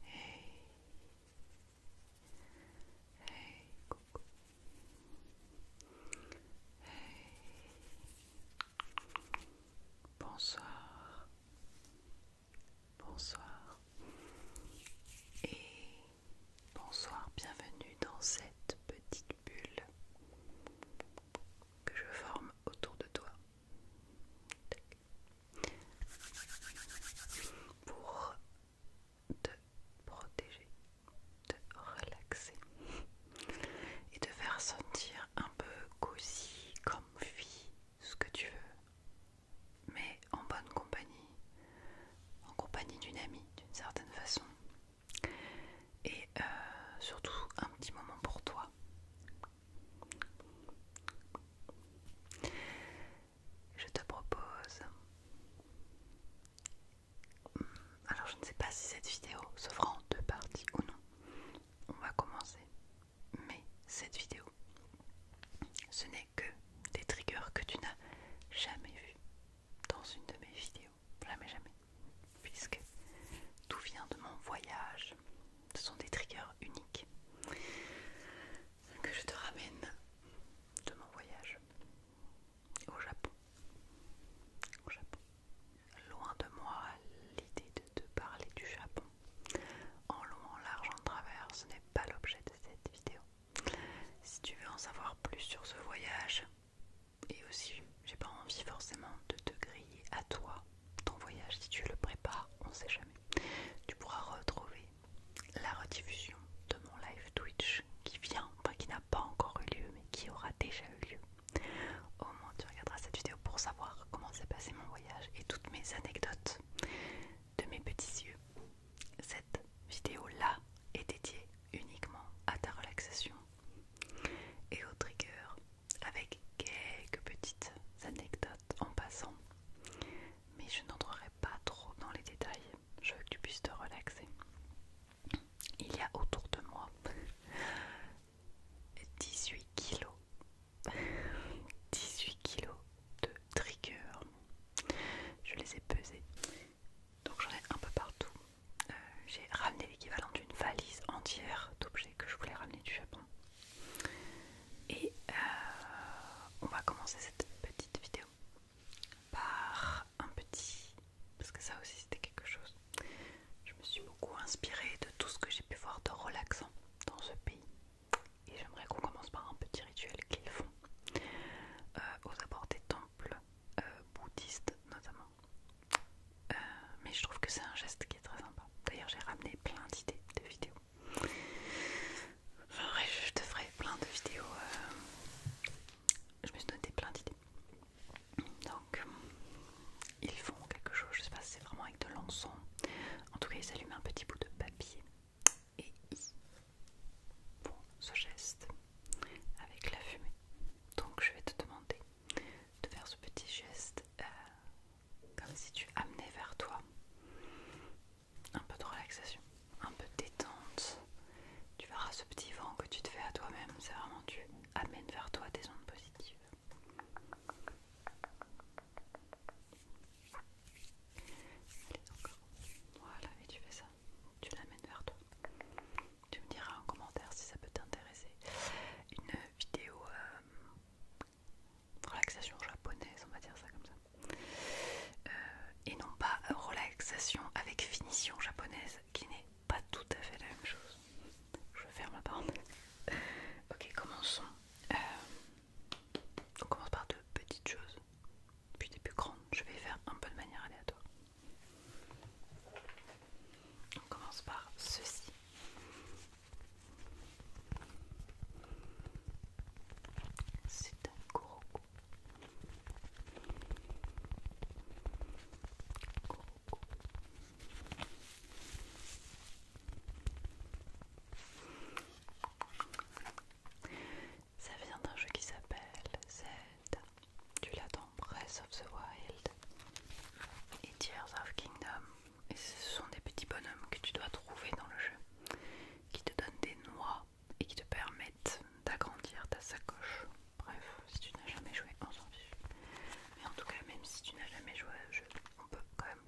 Hey. Bonsoir. Bonsoir. Et bonsoir, bienvenue dans cette petite bulle que je forme autour de toi pour te protéger, te relaxer et te faire sentir un peu cosy, comfy, ce que tu veux, mais en bonne compagnie, en compagnie d'une amie d'une certaine façon, et euh, surtout un petit moment pour toi, je te propose... Hmm, alors je ne sais pas si cette vidéo se fera en deux parties ou non. On va commencer. Mais cette vidéo, ce n'est que des triggers que tu n'as jamais vus dans une de mes vidéos. Jamais, jamais. Puisque tout vient de mon voyage ce sont des triggers uniques que je te ramène de mon voyage au Japon. Au Japon. Loin de moi l'idée de te parler du Japon. En long, en large, en travers, ce n'est pas l'objet de cette vidéo. Si tu veux en savoir plus sur ce voyage, et aussi j'ai pas envie forcément de te griller à toi ton voyage, si tu le prépares, on sait jamais. Tu pourras retrouver la rediffusion de mon live Twitch qui vient, enfin qui n'a pas encore eu lieu, mais qui aura déjà eu lieu. Au moins, tu regarderas cette vidéo pour savoir comment s'est passé mon voyage et toutes mes anecdotes de mes petits yeux. Cette vidéo-là est dédiée uniquement à ta relaxation et au trigger avec quelques petites anecdotes en passant, mais je n'entrerai pas trop dans les détails. Je veux que tu puisses te relaxer. Il y a autour de moi 18 kilos, 18 kilos de triggers. Je les ai pesés, donc j'en ai un peu partout. Euh, j'ai ramené l'équivalent d'une valise entière d'objets que je voulais ramener du Japon. Et euh, on va commencer cette petite vidéo par un petit... Parce que ça aussi c'était quelque chose. Je me suis beaucoup inspirée de tout ce que j'ai pu voir de relaxant dans ce pays. Et j'aimerais qu'on commence par un petit rituel qu'ils font euh, aux abords des temples euh, bouddhistes notamment. mais je trouve que c'est un geste qui est très sympa. D'ailleurs j'ai ramené plein d'idées de vidéos je te ferai plein de vidéos. Euh, je me suis donné plein d'idées. Donc, euh, ils font quelque chose, je sais pas si c'est vraiment avec de l'encens. En tout cas, ils allument un petit bout de papier et ils ce geste avec la fumée. Donc, je vais te demander de faire ce petit geste euh, comme si tu amenais vers toi un peu de relaxation, un peu de détente. Tu verras ce petit vent que tu te fais à toi-même, c'est vraiment tu amènes vers toi des ondes positives. Voilà, et tu fais ça. Tu l'amènes vers toi. Tu me diras en commentaire si ça peut t'intéresser. Une vidéo euh, relaxation japonaise, on va dire ça comme ça. Euh, et non pas relaxation avec finition japonaise, qui n'est pas tout à fait la même chose. Je ferme la porte ok, commençons. Euh, on commence par deux petites choses, puis des plus grandes. Je vais faire un peu de manière aléatoire. On commence par ceci. C'est un gorou Ça vient d'un jeu qui s'appelle Z, Tu l'attends, Breath of the Wild et Tears of Kingdom. Et ce sont des petits bonhommes que tu dois trouver dans le jeu qui te donnent des noix et qui te permettent d'agrandir ta sacoche. Bref, si tu n'as jamais joué, on s'en fiche. Mais en tout cas, même si tu n'as jamais joué au jeu, on peut quand même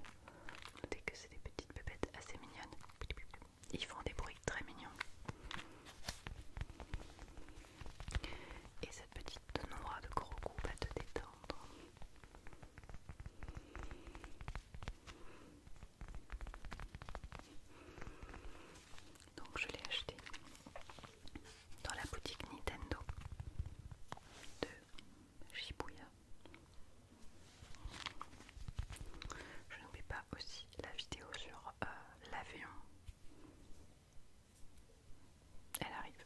noter que c'est des petites pépettes assez mignonnes. Ils font des bruits très mignons. Et cette petite noix de gros goût va te détendre. Donc je l'ai acheté dans la boutique Nintendo de Shibuya. Je n'oublie pas aussi la vidéo sur euh, l'avion. Elle arrive.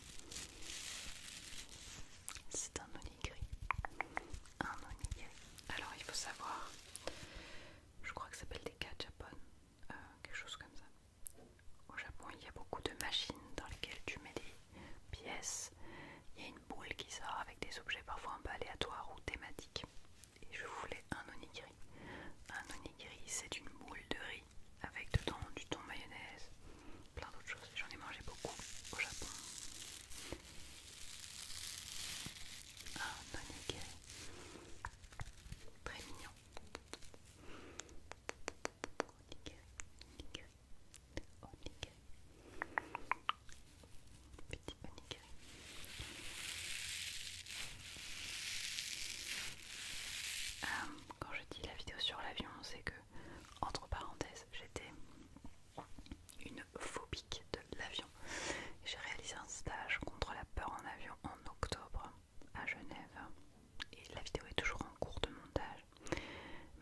C'est un onigiri. Un onigiri. Alors il faut savoir, je crois que ça s'appelle des de Japon. Euh, quelque chose comme ça. Au Japon, il y a beaucoup de machines dans lesquelles tu mets des pièces. Il y a une boule qui sort avec des objets parfois un peu aléatoires ou thématiques. Et je voulais un onigiri. Un onigiri, c'est une boule de riz avec dedans du thon mayonnaise, plein d'autres choses. J'en ai mangé beaucoup au Japon. Ah, onigiri Très mignon. Onigiri, onigiri, Petit onigiri quand je dis la vidéo sur l'avion, c'est que entre parenthèses, j'étais une phobique de l'avion. J'ai réalisé un stage contre la peur en avion en octobre à Genève. Et la vidéo est toujours en cours de montage.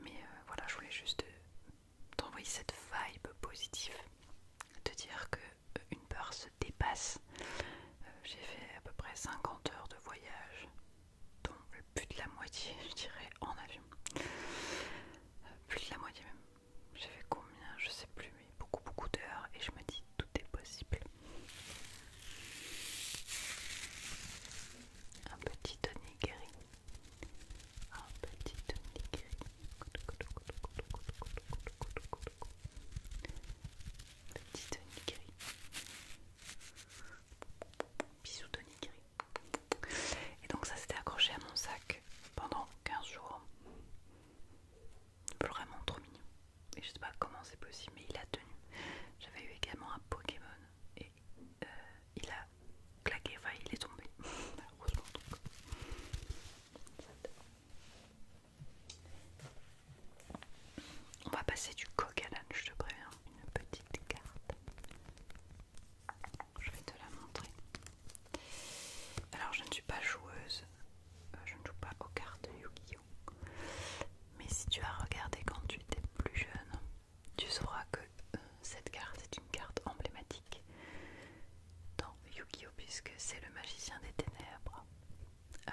Mais euh, voilà, je voulais juste euh, t'envoyer cette vibe positive. De dire qu'une euh, peur se dépasse. J'ai fait à peu près 50 heures de voyage le plus de la moitié, je dirais, en avion. Euh, plus de la moitié même. J'ai fait combien Je sais plus, mais beaucoup, beaucoup d'heures. Et je me dis, tout est possible. Un petit Tony Un petit Tony Un Petit Bisous de Et donc ça s'était accroché à mon sac pendant 15 jours. Vraiment trop mignon. Et je sais pas comment c'est possible, mais il a tenu. J'avais eu également un Pokémon et euh, il a claqué, enfin il est tombé. Heureusement donc. On va passer du Kokalan, je te préviens. Une petite carte. Je vais te la montrer. Alors, je ne suis pas joueuse. Euh, je ne joue pas aux cartes Yu-Gi-Oh! Mais si tu as regardé quand tu étais plus jeune, tu sauras que euh, cette carte est une carte emblématique dans Yu-Gi-Oh! puisque c'est le magicien des ténèbres. Euh,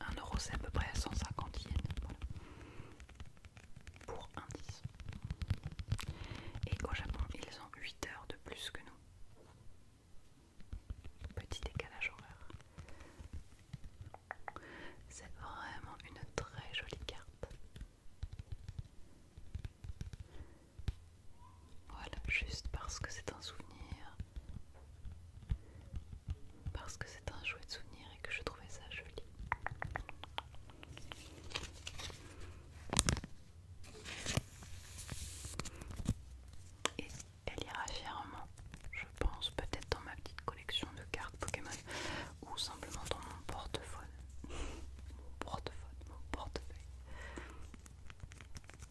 1 euro c'est à peu près 150 yens pour un 10. Et au Japon, ils ont 8 heures de plus que nous. Petit décalage horaire. C'est vraiment une très jolie carte. Voilà, juste parce que c'est un souvenir parce que c'est un jouet de souvenir et que je trouvais ça joli. Et elle ira fièrement, je pense, peut-être dans ma petite collection de cartes Pokémon ou simplement dans mon portefeuille. Mon portefeuille, mon portefeuille.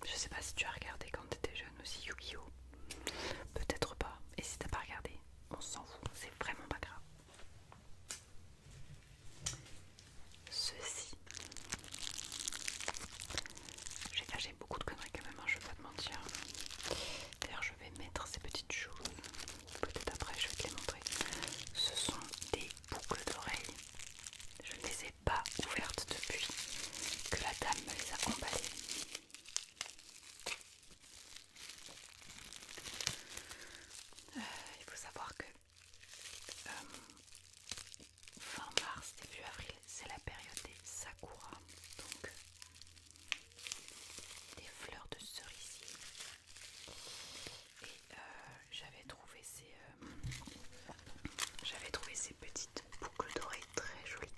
Je sais pas si tu as regardé quand t'étais jeune aussi Yu-Gi-Oh! Peut-être pas. Et si t'as pas regardé, on s'en fout. C'est vraiment pas grave. Ceci. J'ai lâché beaucoup de conneries quand même, hein, je vais pas te mentir. D'ailleurs, je vais mettre ces petites choses. Peut-être après, je vais te les montrer. Ce sont des boucles d'oreilles. Je ne les pas ouvertes depuis que la dame me les a emballées. Euh, il faut savoir que euh, fin mars, début avril, c'est la période des sakura, donc des fleurs de cerisier. Et euh, j'avais trouvé ces j'avais trouvé ces petites boucles dorées très jolies.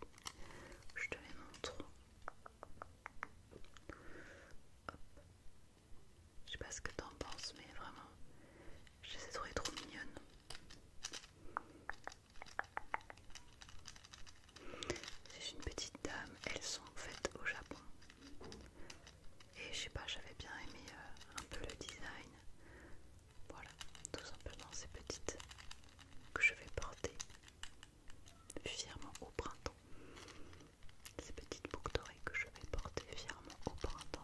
Je te les montre. Je sais pas ce que t'en penses, mais vraiment, je les ai trouvées trop mignonnes. C'est une petite dame, elles sont faites au Japon. Et je sais pas, j'avais bien aimé euh, un peu le design. Voilà, tout simplement ces petites que je vais porter fièrement au printemps. Ces petites boucles d'oreilles que je vais porter fièrement au printemps.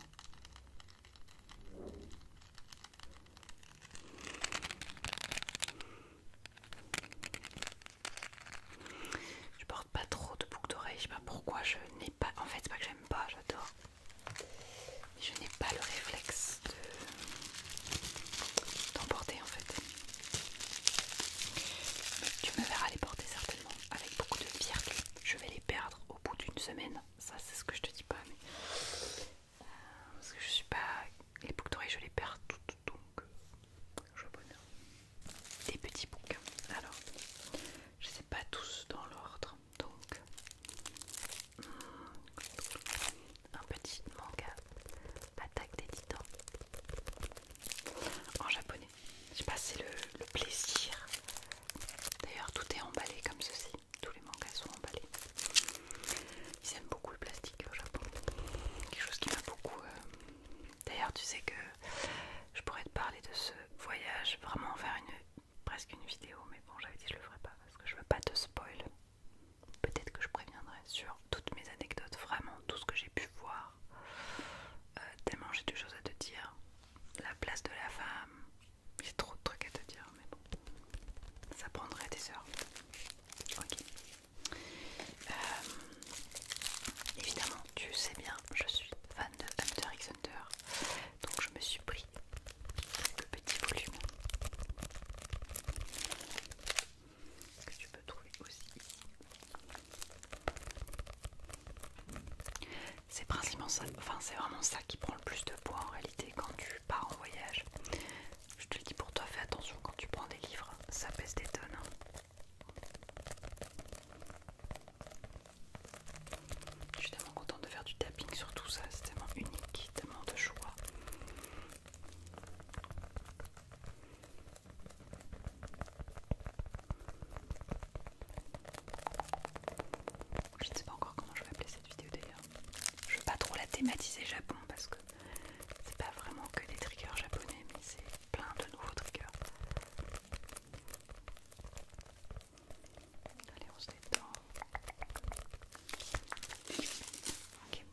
Je porte pas trop de boucles d'oreilles, je sais pas pourquoi je n'ai pas. En fait, c'est pas que j'aime pas, j'adore. Je n'ai pas le réflexe de... en fait. tu me verras les porter certainement avec beaucoup de fierté. Je vais les perdre au bout d'une semaine. Ça c'est ce que je te dis pas. Mais... Euh, parce que je suis pas... Les boucles d'oreilles je les perds toutes donc... Euh, je bonheur. Des petits bouquins. Alors, je ne sais pas tous dans l'ordre donc hmm, un petit manga Attaque des Titans en japonais. Je sais pas, c'est le, plaisir. D'ailleurs, tout est emballé comme ceci. Tous les mangas sont emballés. Ils aiment beaucoup le plastique au Japon. Quelque chose qui m'a beaucoup. Euh, D'ailleurs, tu sais que je pourrais te parler de ce voyage vraiment vers une presque une vidéo, mais bon, j'avais dit je le ferai pas parce que je veux pas te spoil. Peut-être que je préviendrai sur toutes mes anecdotes, vraiment tout ce que j'ai pu voir. Euh, tellement j'ai des choses à te dire. La place de la femme, j'ai trop de trucs à te dire, mais bon, ça prendrait des heures. Ok. Euh, évidemment, tu sais bien, je suis fan de Hunter x Hunter, donc je me suis pris le petit volume que tu peux trouver aussi C'est principalement ça, enfin c'est vraiment ça qui prend le plus de poids en réalité quand tu pars en voyage. Je te le dis pour toi, fais attention quand tu prends des livres, ça pèse des tonnes. Hein. Je suis tellement contente de faire du tapping sur tout ça, c'est tellement unique, tellement de choix. Je ne sais pas encore comment je vais appeler cette vidéo d'ailleurs. Je ne veux pas trop la thématiser Japon parce que c'est pas vraiment que des triggers japonais, mais c'est plein de nouveaux triggers. Allez, on se détend. Ok.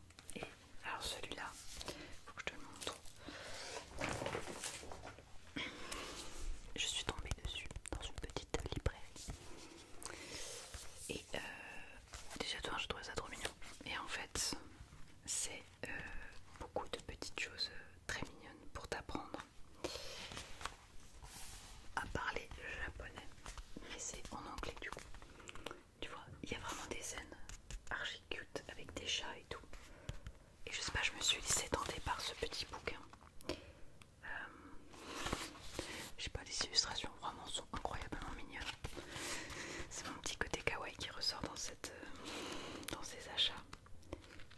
alors celui-là, il faut que je te le montre. Je suis tombée dessus dans une petite librairie. Et euh, déjà toi, je trouvais ça trop mignon. Et en fait, c'est euh, beaucoup de petites choses euh, très mignonnes pour t'apprendre à parler japonais, mais c'est en anglais du coup. Tu vois, il y a vraiment des scènes archi cute avec des chats et tout. Et je sais pas, je me suis laissée tenter par ce petit bouquin. J'ai euh, je sais pas, les illustrations vraiment sont incroyablement hein, mignonnes. C'est mon petit côté kawaii qui ressort dans, cette, euh, dans ces achats.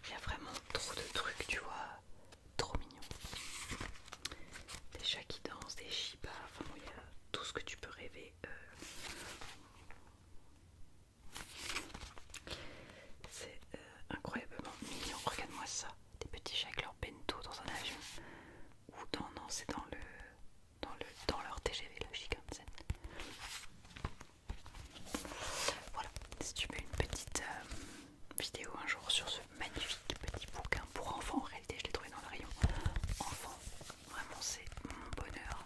Il y a vraiment trop de trucs, tu vois trop mignon. Des chats qui dansent, des chibas, enfin il y a tout ce que tu peux rêver. Euh. C'est euh, incroyablement mignon. Regarde-moi ça, des petits chats avec leur bento dans un avion. Ou dans non, c'est dans le dans le dans leur TGV le ça. Voilà, si tu veux une petite euh, vidéo un jour sur ce magnifique petit bouquin pour enfants. En réalité, je l'ai trouvé dans le rayon enfants. Vraiment, c'est mon bonheur.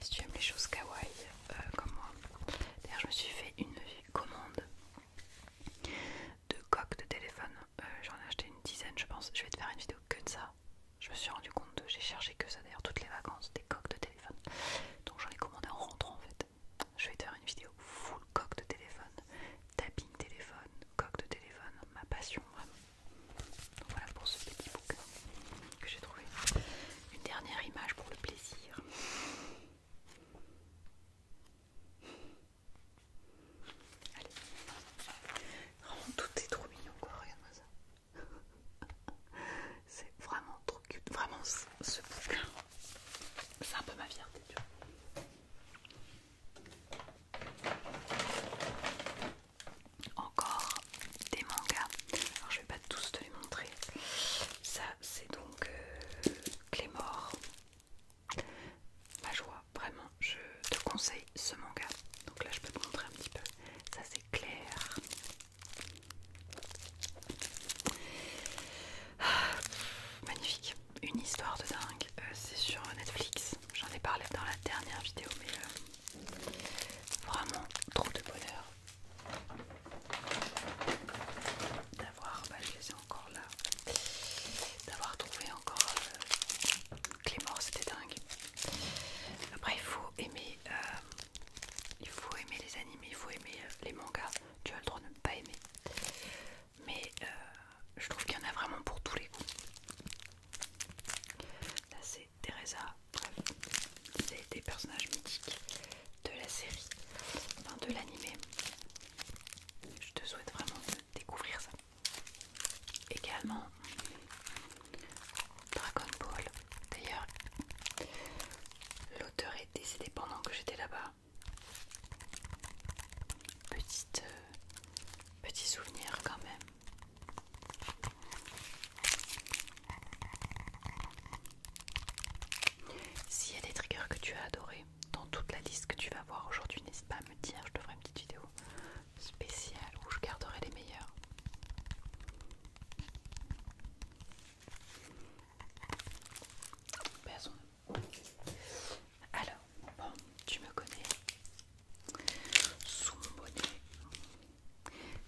Si tu aimes les choses kawaii euh, comme moi. D'ailleurs, je me suis fait une commande de coques de téléphone. Euh, j'en ai acheté une dizaine, je pense. Je vais te faire une vidéo que de ça. Je me suis rendu compte de j'ai cherché que ça d'ailleurs toutes les vacances, des coques de téléphone. Donc j'en ai commandé en rentrant en fait je vais te faire une vidéo full coque de téléphone, tapping téléphone, coque de téléphone, ma passion vraiment. Donc voilà pour ce petit bouquin que j'ai trouvé. Une dernière image pour le plaisir. Allez, vraiment tout est trop mignon quoi, regarde-moi ça. C'est vraiment trop cute, vraiment ce bouquin. C'est un peu ma fierté, encore des mangas. Alors je vais pas tous te les montrer. Ça c'est donc euh, Clémor Ma joie, vraiment, je te conseille ce manga. Donc là je peux te montrer un petit peu. Ça c'est clair. Ah, magnifique une histoire de dingue, euh, c'est sur Netflix, j'en ai parlé dans la dernière vidéo mais euh, vraiment trop de bonheur d'avoir, bah, je les ai encore là, d'avoir trouvé encore euh, Clément, c'était dingue. Après il faut aimer, il faut aimer les animés, il faut aimer les mangas, tu as le droit de ne pas aimer mais euh, je trouve qu'il y en a vraiment pour tous les goûts. Là c'est Teresa, c'est des personnages mythiques de la série, enfin de l'animé. Je te souhaite vraiment de découvrir ça. Également Dragon Ball. D'ailleurs, l'auteur est décédé pendant que j'étais là-bas petit euh, souvenir quand même. S'il y a des triggers que tu as adoré dans toute la liste que tu vas voir aujourd'hui, n'hésite pas à me dire, je te ferai une petite vidéo spéciale où je garderai les meilleurs. Bah, alors, bon, tu me connais. Sous mon bonnet,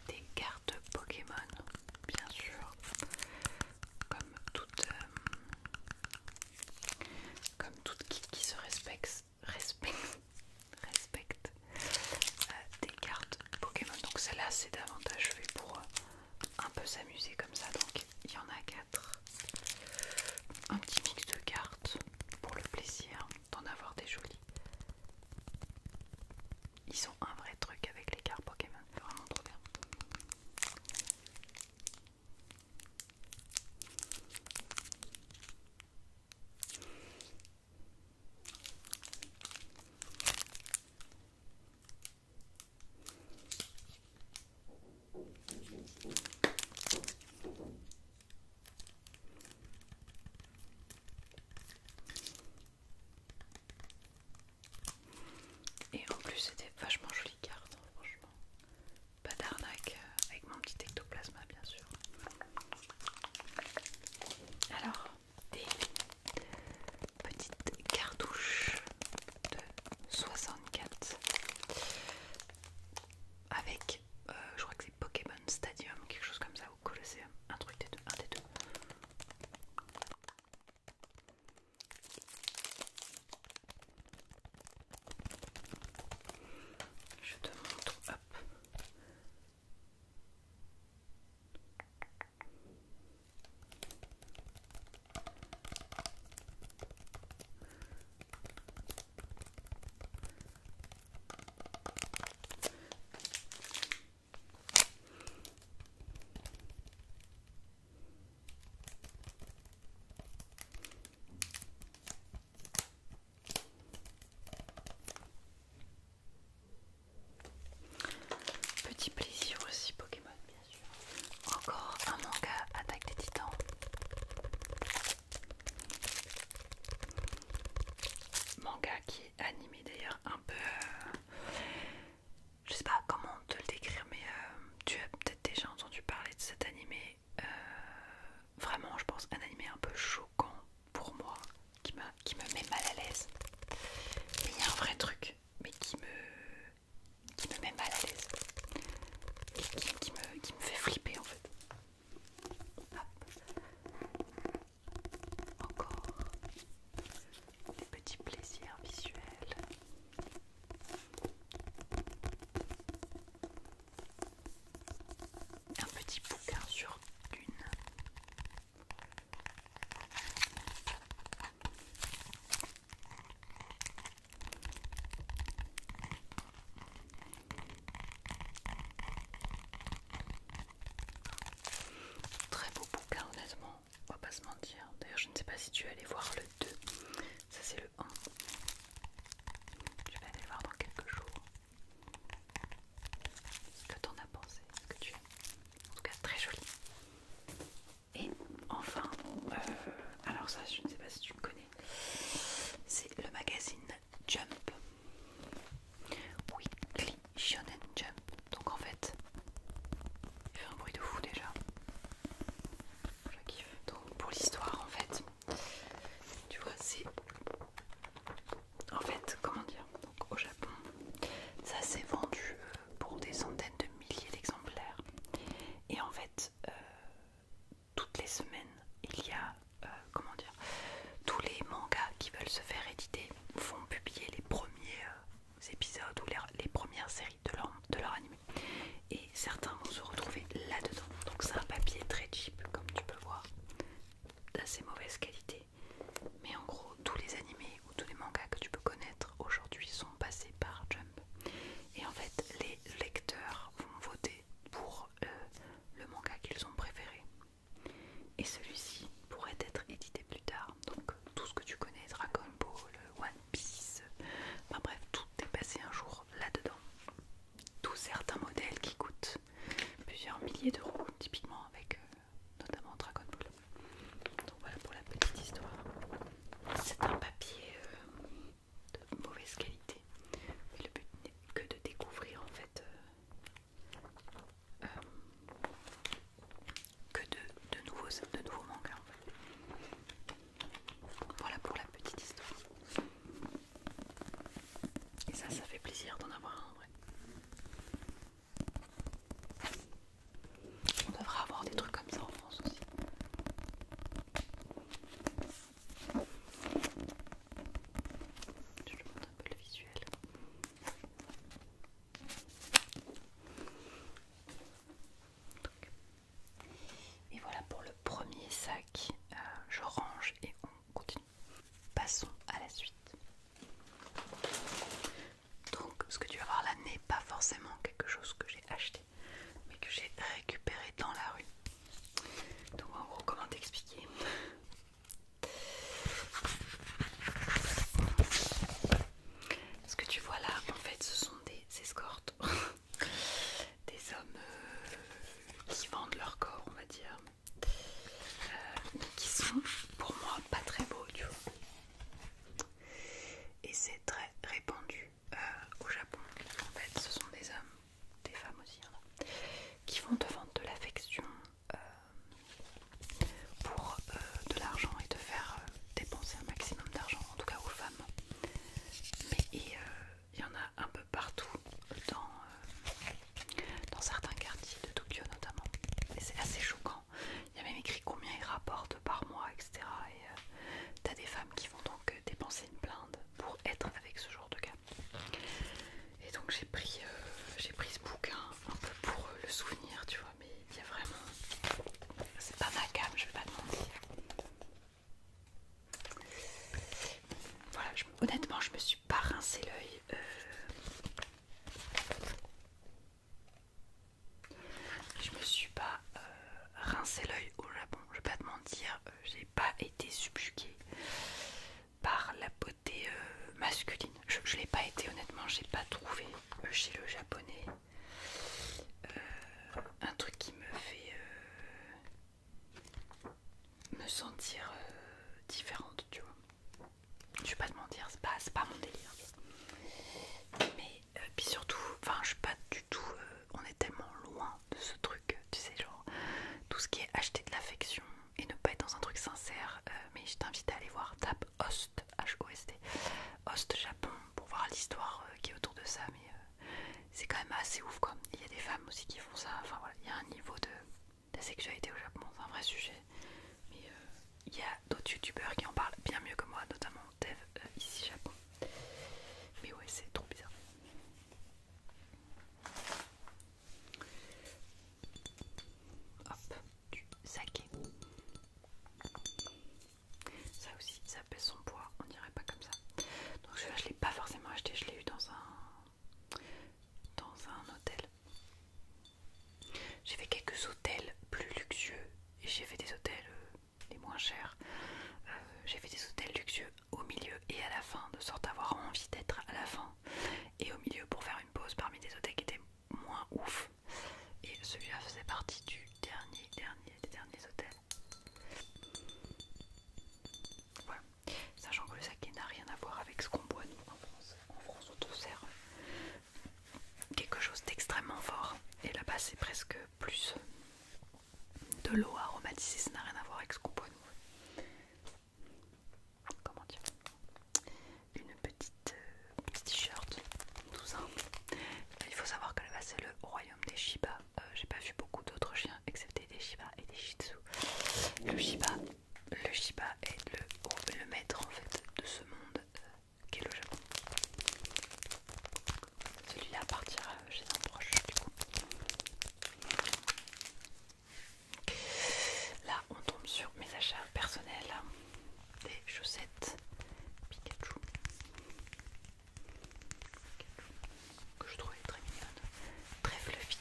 des cartes Pokémon, bien sûr, comme toute, euh, comme toute qui, se respecte, respecte, euh, des cartes Pokémon. Donc celle-là, c'est davantage fait pour euh, un peu s'amuser comme ça. Donc il y en a quatre. Un petit mix de cartes pour le plaisir d'en avoir des jolies. Ils sont un vrai truc avec les cartes Pokémon, vraiment trop bien. Et en plus, c'était vachement joli carte, franchement. Pas d'arnaque euh, avec mon petit ectoplasma, bien sûr. Alors, des petites cartouches de 64 avec euh, je crois que c'est Pokémon Stadium quelque chose comme ça ou Colosseum un truc des deux un des deux je te montre hop Petit plaisir aussi Pokémon. Encore un manga Attaque des Titans. Manga qui est animé d'ailleurs un peu... Euh, je sais pas comment te le décrire mais euh, tu as peut-être déjà entendu parler de cet animé. Euh, vraiment je pense un animé un peu choquant pour moi qui, qui me met mal à l'aise. Mais il y a un vrai truc mais qui me qui me met mal à l'aise qui, me, fait flipper en fait. Encore des petits plaisirs visuels. Un petit bouquin sur une Très beau bouquin honnêtement, on va pas se mentir. D'ailleurs je ne sais pas si tu es allé voir le 2, ça c'est le 1. Je vais aller voir dans quelques jours ce que t'en as pensé, ce que tu aimes. En tout cas très joli. Et enfin, euh, alors ça je ne sais pas si tu connais, c'est le magazine Jump. Weekly Shonen Jump. Donc en fait, fait un bruit de fou déjà. Je kiffe. Donc pour l'histoire en fait, tu vois c'est... En fait, comment dire Donc au Japon, ça s'est vendu euh, pour des centaines de milliers d'exemplaires. Et en fait, euh, toutes les semaines, il y a, euh, comment dire, tous les mangas qui veulent se faire éditer vont publier les premiers euh, épisodes ou les, premières séries de leur, de anime. Et certains vont se retrouver là-dedans. Donc c'est un papier très cheap, comme tu peux voir, d'assez mauvaise qualité. Mais en gros, tous les animés tous les mangas que tu peux connaître aujourd'hui sont passés par Jump. Et en fait, les lecteurs vont voter pour euh, le manga qu'ils ont préféré. Et celui-ci pourrait être édité plus tard. Donc tout ce que tu connais, Dragon Ball, One Piece, enfin bref, tout est passé un jour là-dedans. Tous certains modèles qui coûtent plusieurs milliers d'euros, typiquement avec euh, notamment Dragon Ball. Donc voilà pour la petite histoire. C'est un papier euh, de mauvaise qualité. Et le but n'est que de découvrir en fait euh, euh, que de, nouveaux, de nouveaux mangas Voilà pour la petite histoire. Et ça, ça fait plaisir d'en avoir un en vrai. On devrait avoir des trucs comme ça en France aussi. Je te montre un peu le visuel. Et voilà pour le premier sac. Euh, je range et on continue. Passons à la suite. Donc ce que tu vas voir là n'est pas forcément quelque chose que j'ai acheté, mais que j'ai récupéré dans la rue. Donc en gros comment t'expliquer Ce que tu vois là en fait ce sont des escortes, des hommes euh, qui vendent leur corps on va dire, euh, qui sont pour moi pas très beaux tu vois et c'est très répandu euh, au Japon. En fait, ce sont des hommes, des femmes aussi, hein, qui vont te vendre de l'affection euh, pour euh, de l'argent et te faire dépenser un maximum d'argent, en tout cas aux femmes. Mais il y en a un peu partout dans certains quartiers de Tokyo notamment. Et c'est assez choquant il y a même écrit combien il rapporte par mois, etc. Et euh, t'as des femmes qui vont donc euh, dépenser une blinde pour être avec ce genre de gamme Et donc j'ai pris, euh, pris ce bouquin un peu pour le souvenir, tu vois, mais il y a vraiment... C'est pas ma gamme, je vais pas te mentir. Voilà, honnêtement, je me suis pas rincé l'œil. Je me suis pas euh, rincé l'œil au Japon, je vais pas te mentir, euh, j'ai pas été subjuguée par la beauté euh, masculine. Je, l'ai pas été honnêtement, j'ai pas trouvé chez le japonais un truc qui me fait me sentir différente, tu vois. Je vais pas te mentir, c'est pas mon délire. Mais et euh, puis surtout, enfin je suis pas du tout, euh, on est tellement loin de ce truc, tu sais, genre tout ce qui est acheter de l'affection et ne pas être dans un truc sincère, euh, mais je t'invite à aller voir, tape Host, H-O-S-T, Host Japon pour voir l'histoire qui est autour de ça, mais c'est quand même assez ouf quoi, il y a des femmes aussi qui font ça, enfin voilà, il y a un niveau de, de sexualité au Japon, c'est un vrai sujet, mais il y a d'autres youtubeurs qui en parlent bien mieux que moi, notamment Dev euh, ici Japon. Mais ouais, c'est trop bizarre. Hop, du saké. Ça aussi, ça pèse son poids, on dirait pas comme ça. Donc je je l'ai pas forcément acheté, je l'ai eu dans un dans un hôtel. J'ai fait quelques hôtels plus luxueux j'ai fait des hôtels euh, les moins chers, euh, j'ai fait des hôtels luxueux au milieu et à la fin, de sorte avoir envie d'être à la fin et au milieu pour faire une pause parmi des hôtels qui étaient moins ouf. Et celui-là faisait partie du dernier, dernier, des derniers hôtels. sachant que le saké n'a rien à voir avec ce qu'on boit nous en France. En France, on te sert quelque chose d'extrêmement fort. Et là-bas, c'est presque plus de l'eau aromatisée, ça n'a rien à voir avec ce qu'on peut. nous. Comment dire Une petite euh, Petite t-shirt, Il faut savoir que là-bas, c'est le royaume des Shiba. Euh, j'ai pas vu beaucoup d'autres chiens, excepté des Shiba et des Shih Le Shiba, le Shiba est le, maître en fait de ce monde. Euh, qu'est le Japon. Celui-là partir chez un proche du coup. Là on tombe sur mes achats personnels des chaussettes Pikachu que je trouvais très mignonne, très fluffy.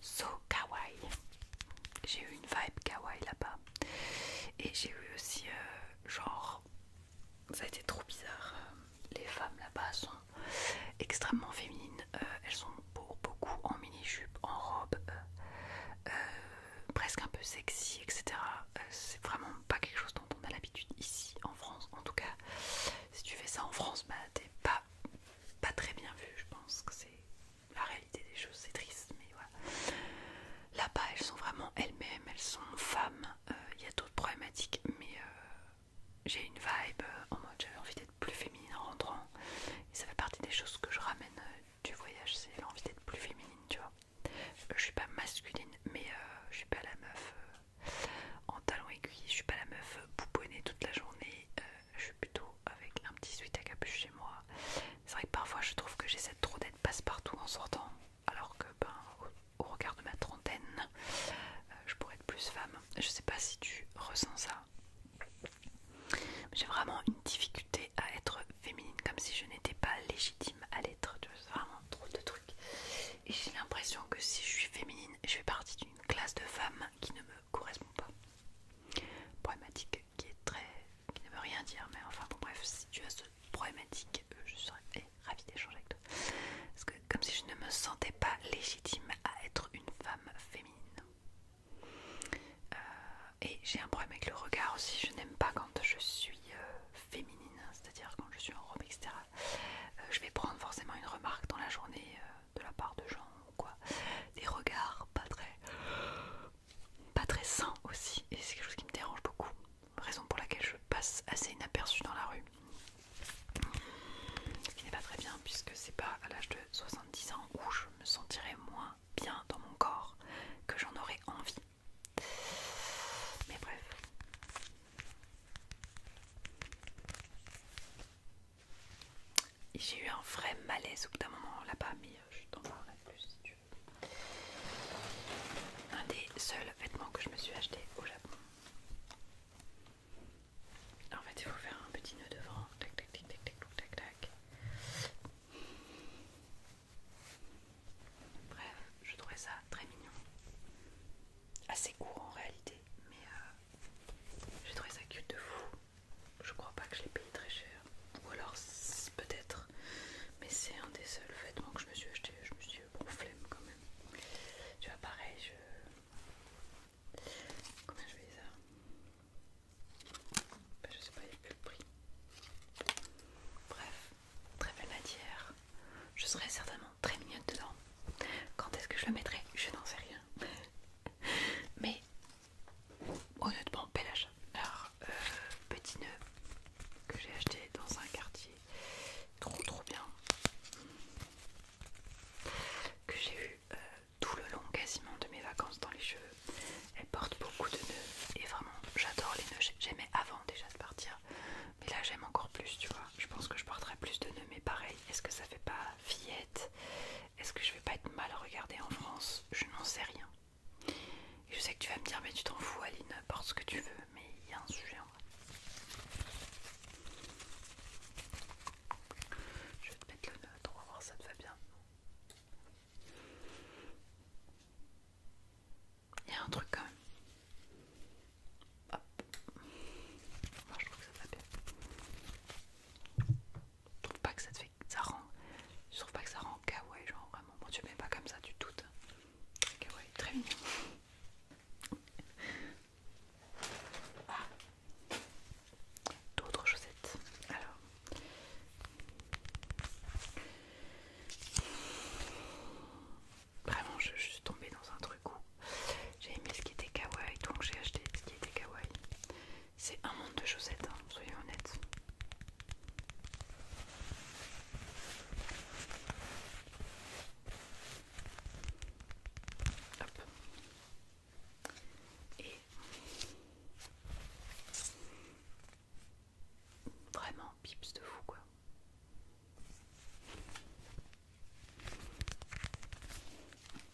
So kawaii. J'ai eu une vibe kawaii là-bas. Et j'ai eu aussi, euh, genre, ça a été trop bizarre. Euh, les femmes là-bas sont extrêmement féminines. Euh, elles sont beaucoup en mini-jupe, en robe, presque un peu sexy, etc. C'est vraiment pas quelque chose dont on a l'habitude ici en France. En tout cas, si tu fais ça en France, bah, t'es pas, pas très bien vu. Je pense que c'est la réalité des choses, c'est triste, mais voilà. Là-bas, elles sont vraiment elles-mêmes, elles sont femmes. Euh, il y a d'autres problématiques, mais euh, j'ai une vibe euh, en mode j'avais envie d'être plus féminine en rentrant. Et ça fait partie des choses que je ramène du voyage, c'est l'envie d'être plus féminine, tu vois. je suis pas masculine, mais je suis pas la meuf en talons aiguilles, je suis pas la meuf boubonnée toute la journée. je suis plutôt avec un petit sweat à capuche chez moi. C'est vrai que parfois je trouve que j'essaie trop d'être passe-partout en sortant, alors que ben, au, regard de ma trentaine, euh, je pourrais être plus femme. Je sais pas si tu ressens ça. J'ai vraiment une difficulté à être féminine, comme si je n'étais pas légitime à l'être. C'est vraiment trop de trucs. Et j'ai l'impression que si je suis féminine, je fais partie d'une classe de femmes qui ne me correspond pas. Problématique qui est très. qui ne veut rien dire, mais enfin bon, bref, si tu as ce problématique, euh, je serais eh, ravie d'échanger avec toi. Parce que, comme si je ne me sentais pas légitime à être une femme féminine. Euh, et j'ai un problème avec le regard aussi, je n'aime pas quand je suis euh, féminine, hein, c'est-à-dire quand je suis en robe, etc. je vais prendre forcément une remarque dans la journée de la part de gens ou quoi. Des regards pas très pas très sain aussi, et c'est quelque chose qui me dérange beaucoup, raison pour laquelle je passe assez inaperçu dans la rue. Ce qui n'est pas très bien, puisque c'est pas à l'âge de 70 ans où je me sentirais moins bien dans mon corps que j'en aurais envie. Mais bref j'ai eu un vrai malaise au bout d'un moment là-bas, mais euh, je t'en parlerai plus si tu veux. Un des seuls vêtements que je me suis acheté au Japon. En fait, il faut faire un petit nœud devant. Tac, tac, tac, tac, tac, tac, tac. Bref, je trouvais ça très mignon. Assez court en réalité, mais euh, je trouvais ça cute de fou je crois pas que je l'ai payé très cher, ou alors peut-être, mais c'est un des seuls vêtements que je me suis acheté. Je me suis flemme quand même. Tu vois, pareil, je. Comment je vais ça Je ben, Je sais pas, il n'y a le prix. Bref, très belle matière. Je serai certainement très mignonne dedans. Quand est-ce que je la mettrai Je n'en sais rien. Mais Honnêtement, bel Alors, euh, petit nœud que j'ai acheté dans un quartier trop trop bien. Que j'ai eu euh, tout le long quasiment de mes vacances dans les cheveux. Elle porte beaucoup de nœuds et vraiment j'adore les nœuds. J'aimais avant déjà de partir, mais là j'aime encore plus, tu vois. Je pense que je porterai plus de nœuds, mais pareil, est-ce que ça fait pas fillette Est-ce que je vais pas être mal regardée en France Je n'en sais rien. Et je sais que tu vas me dire, mais tu t'en fous, Aline, porte ce que tu veux, mais il y a un sujet en vrai. Je vais te mettre le neutre, on va voir ça te va bien. Il y a un truc quand même. Moi je trouve que ça va bien. Je trouve pas que ça te fait. Ça rend. Je trouve pas que ça rend kawaii, genre vraiment. Moi, tu mets pas comme ça du tout. kawaii, très mignon. Ah. D'autres chaussettes. Alors. Vraiment, je suis tombée dans un truc où j'ai aimé ce qui était kawaii, donc j'ai acheté ce qui était kawaii. C'est un monde de chaussettes, soyez hein, soyons honnêtes. Et vraiment pips de fou quoi.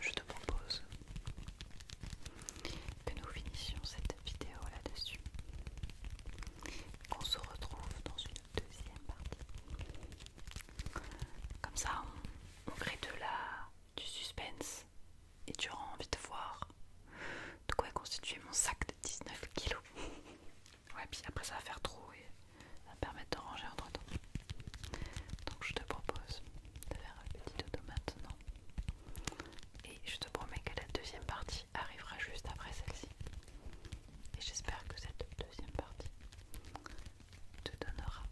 Je te propose que nous finissions cette vidéo là-dessus, qu'on se retrouve dans une deuxième partie. Comme ça, on, gré de la du suspense et tu auras envie de voir de quoi est constitué mon sac de 19 kilos. ouais, puis après ça va faire trop et ça va permettre de ranger entre temps. Donc je te propose de faire un petit dodo maintenant. Et je te promets que la deuxième partie arrivera juste après celle-ci. Et j'espère que cette deuxième partie te donnera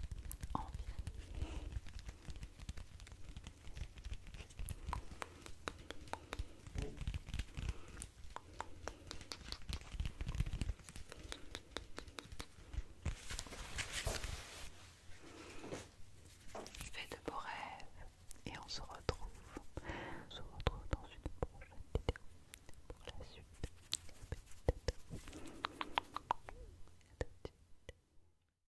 envie Fais de beaux rêves et on se retrouve. On se retrouve dans une prochaine vidéo pour la suite.